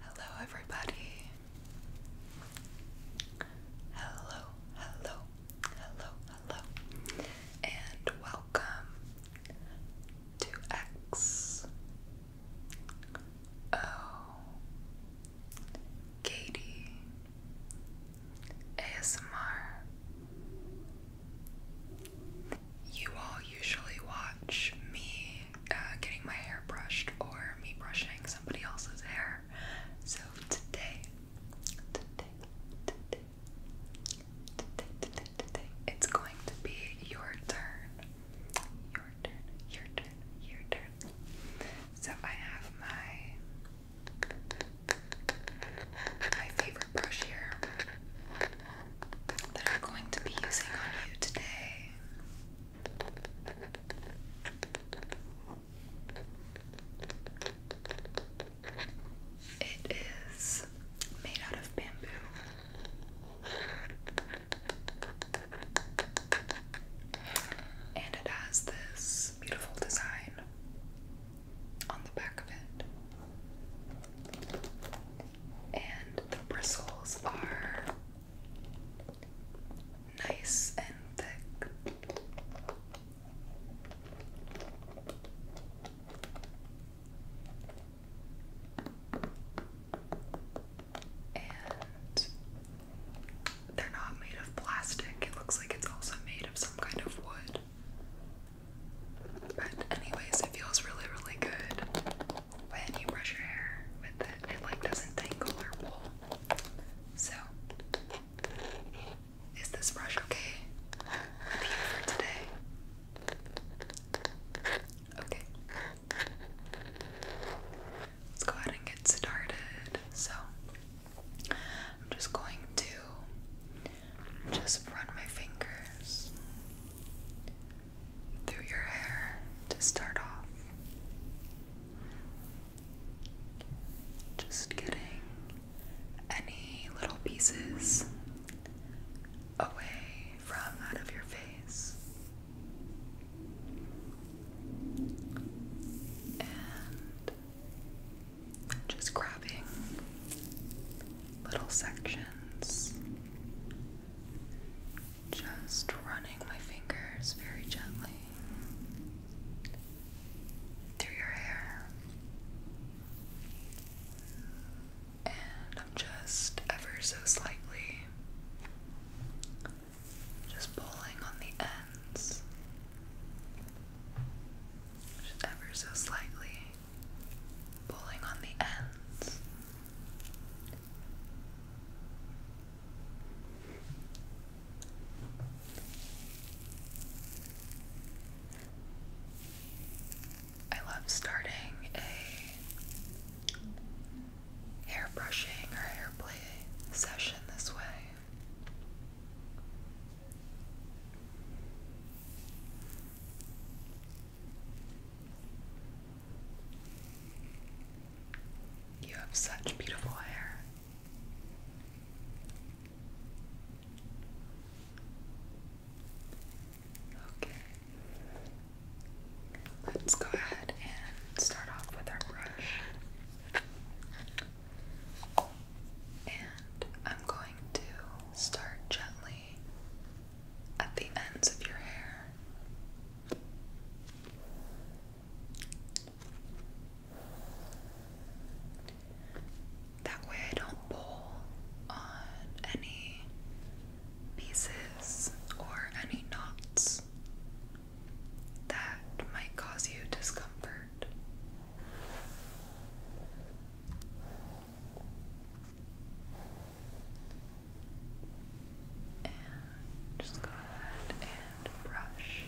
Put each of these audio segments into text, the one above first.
Hello, everybody. Hello, hello, hello, hello, and welcome to X O Katie ASMR you all usually watch me uh, getting my hair brushed or me brushing somebody else's hair. So today, today, today, today, today, today, it's going to be your turn. Your turn, your turn, your turn. So I have my my favorite brush here that I'm going to be using on you today. It is made out of bamboo. And it has this beautiful design on the back of it and the bristles are nice and thick. And they're not made of plastic. It looks like it's also made of some kind of wood. But, anyways, it feels really, really good when you brush your hair with it, it like doesn't tangle or pull. So, is this brush okay for today? Okay. Let's go ahead and get started. So, I'm just going to just run my fingers through your hair to start off. Just getting any little pieces away from out of your face. And just grabbing little sections just running my fingers very gently through your hair. And I'm just ever so slightly just pulling on the ends. Just ever so slightly pulling on the ends. I love starting a hair brushing or hair play session this way. You have such beautiful hair. Okay. Let's go ahead and start off with our brush. And I'm going to start gently at the ends of your hair. That way I don't pull on any pieces or any knots that might cause you discomfort. And just go ahead and Brush.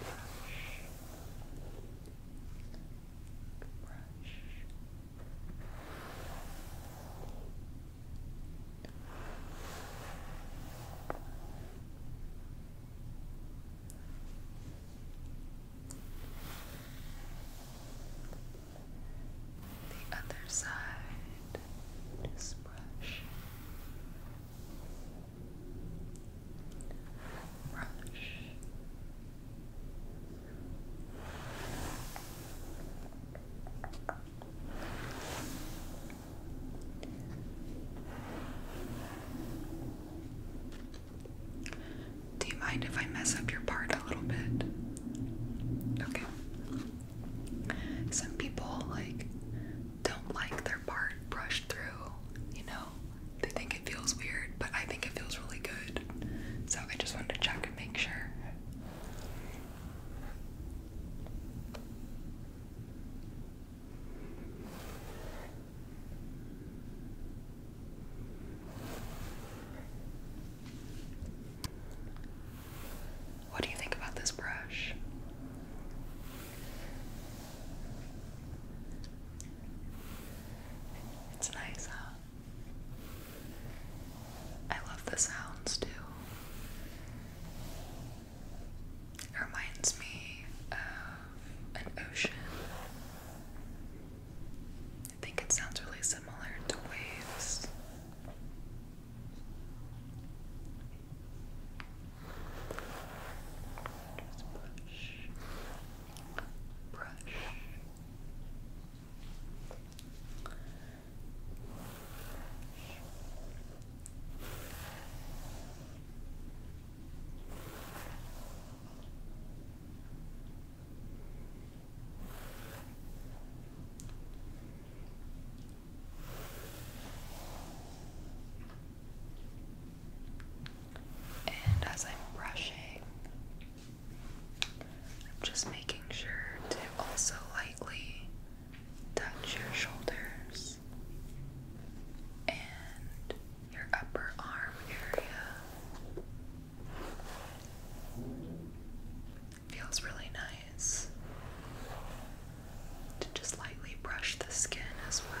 Brush. Brush. The other side, just brush, brush. Do you mind if I mess up your part a little bit? Okay. Some people like don't like their part brushed through, you know? They think it feels weird, but I think it feels really good. So I just wanted to check and make sure. What do you think about this brush? It's nice, huh? I love the sounds too reminds me of an ocean. I think it sounds really similar to waves. brush. brush. And as I'm brushing, I'm just making sure to also lightly touch your shoulders and your upper arm area. Feels really nice to just lightly brush the skin as well.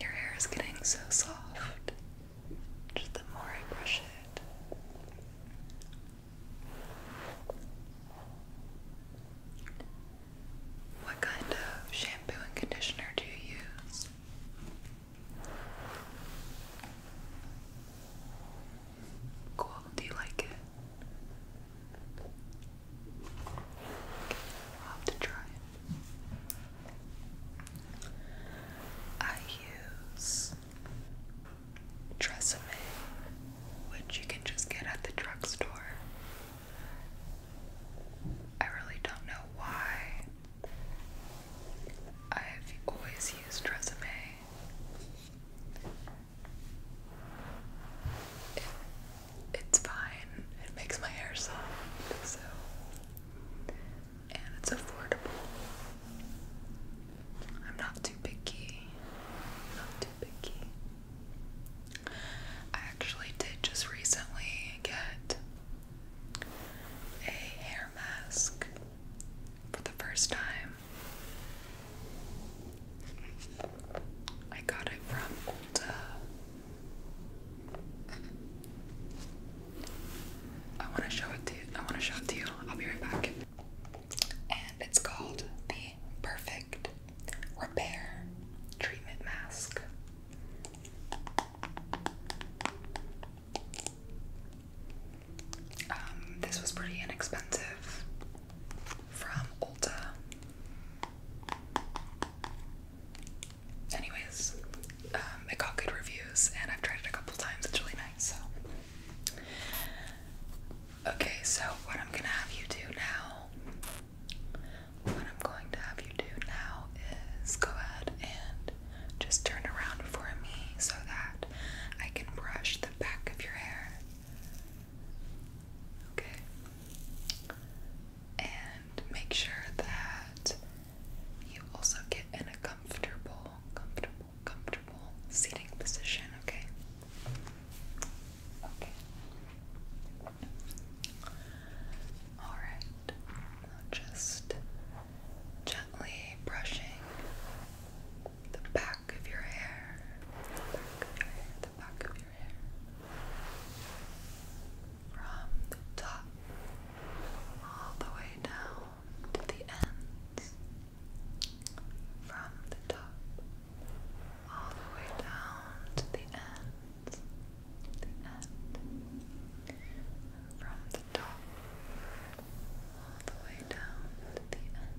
Your hair is getting so soft, the more I brush it. What kind of shampoo and conditioner do you use? Cool, do you like it? i have to try I use Tresemme, which you can just get at the drugstore. I really don't know why I've always used resume. It, it's fine. It makes my hair soft, so and it's affordable. I'm not too picky. not too picky. I actually did just recently get a hair mask for the first time. I got it from Ulta. I want to show it to you. I want to show it to you. I'll be right back. And it's called the Perfect Repair Treatment Mask. Um, this was pretty inexpensive from Ulta. Anyways, um, it got good reviews and I've tried it a couple times. It's really nice. So, okay, so what I'm gonna have you do now what I'm going to have you do now is go ahead and just turn around for me so that I can brush the back of your hair. Okay. And make sure that you also get in a comfortable, comfortable, comfortable seating position, okay? Okay. Alright, just gently brushing the back of your hair. The back of your hair, the back of your hair. From the top all the way down to the ends. From the top all the way down to the ends end from the top all the way down to the end.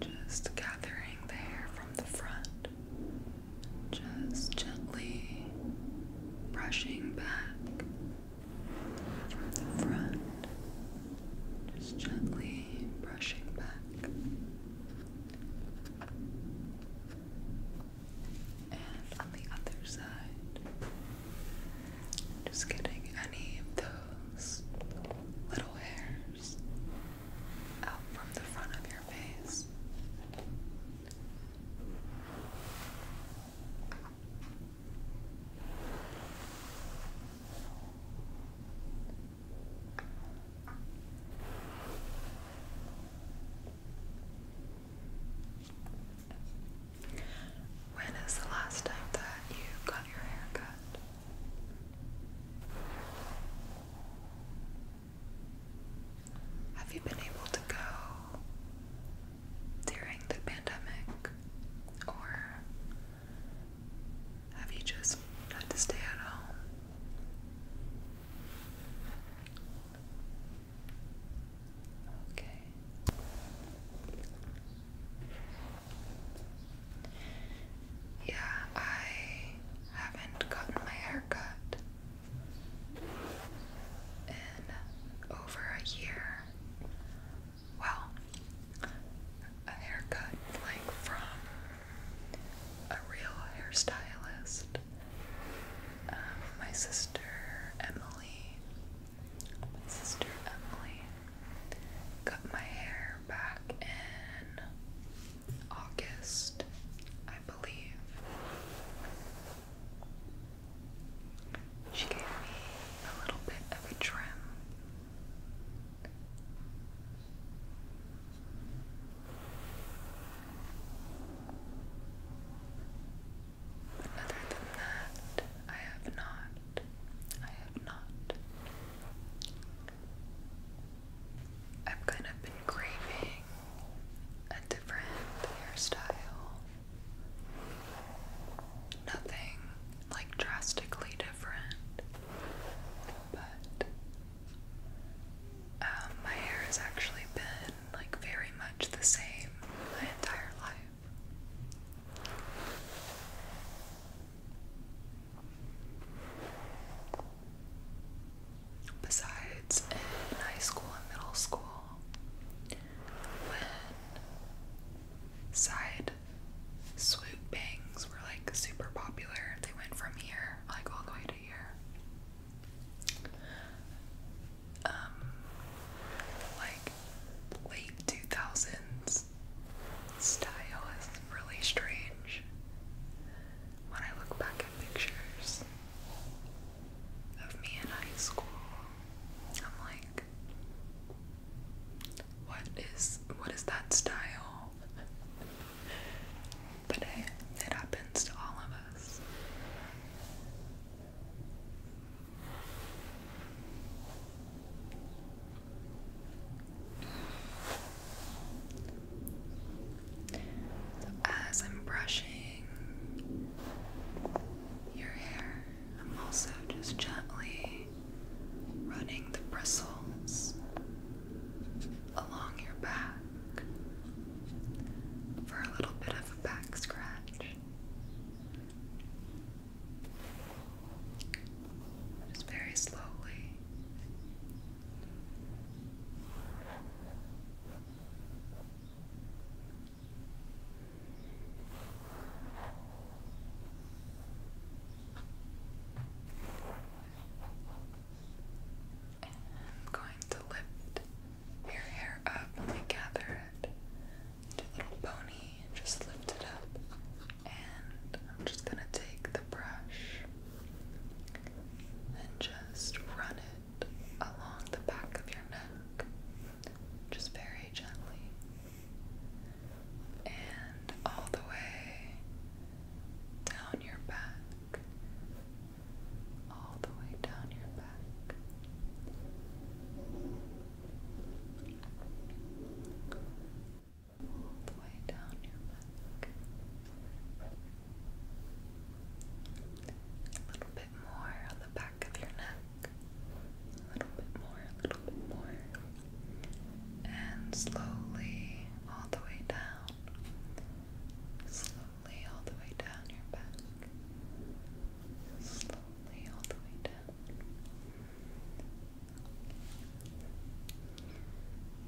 Then just gathering the hair from the front just gently brushing back from the front, just gently brushing back. And on the other side, just getting any of those little hairs out from the front of your face. When is the last time that you got your hair cut? Have you been able to go during the pandemic? Or have you just had to stay at home? Okay. Yeah, I haven't gotten my hair in over a year. Well, a haircut like from a real hairstylist. Um, my sister Emily, my sister Emily, cut my hair back in August, I believe. She gave me a little bit of a trim. Other than that, I have not. I have not. I've kind of been craving a different hairstyle. Nothing like drastically different, but um, my hair has actually been like very much the same my entire life. Besides, in high school and middle school, when side swoop bangs were like super popular, they went from here like all the way to here. Um, like late 2000s style is really strange when I look back at pictures of me in high school, I'm like, what is what is that style? But hey, it happens to all of us. So as I'm brushing your hair, I'm also just gently running the bristles along your back for a little bit of a back scratch. Just very slowly. And I'm going to lift your hair up and gather it into a little pony and just lift it up. And I'm just going to take the brush and just run it along the back of your neck, just very gently, and all the way down your back, all the way down your back. All the way down your back. A little bit more on the back of your neck. A little bit more, a little bit more. And slowly all the way down. Slowly all the way down your back. Slowly all the way down.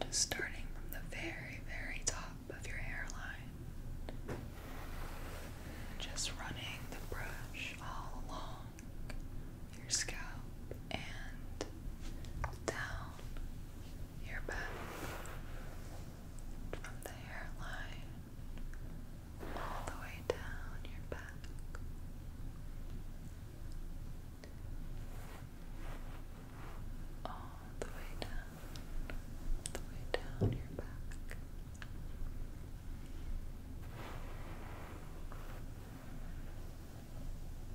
Just starting from the very, very top of your hairline, just running the brush all along your scalp and down your back, from the hairline all the way down your back. All the way down, the way down your back.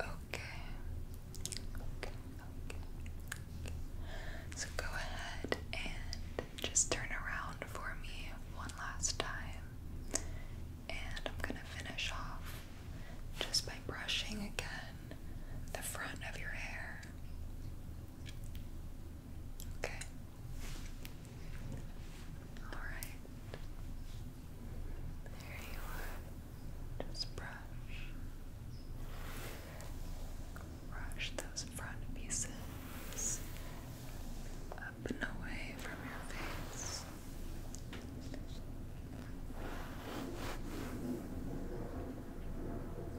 Okay. So go ahead and just turn around for me one last time. And I'm going to finish off just by brushing again the front of your hair. Okay. All right. There you are. Just brush. Brush those front pieces up and away from your face.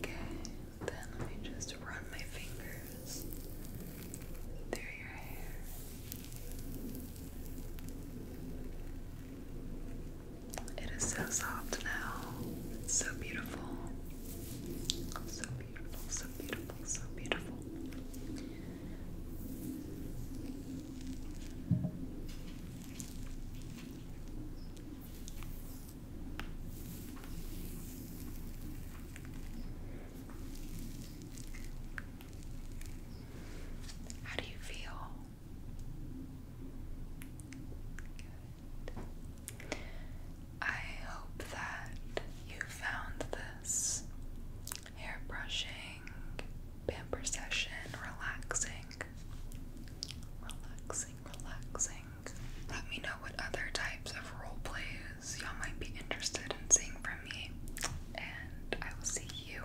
Okay, then let me just run my fingers through your hair. It is so soft now. It's so beautiful. So beautiful, so beautiful, so beautiful. How do you feel? I hope that you found this hair brushing, pamper session relaxing. Relaxing, relaxing. Let me know what other types of role plays y'all might be interested in seeing from me, and I will see you,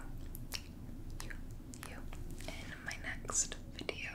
you, you in my next video.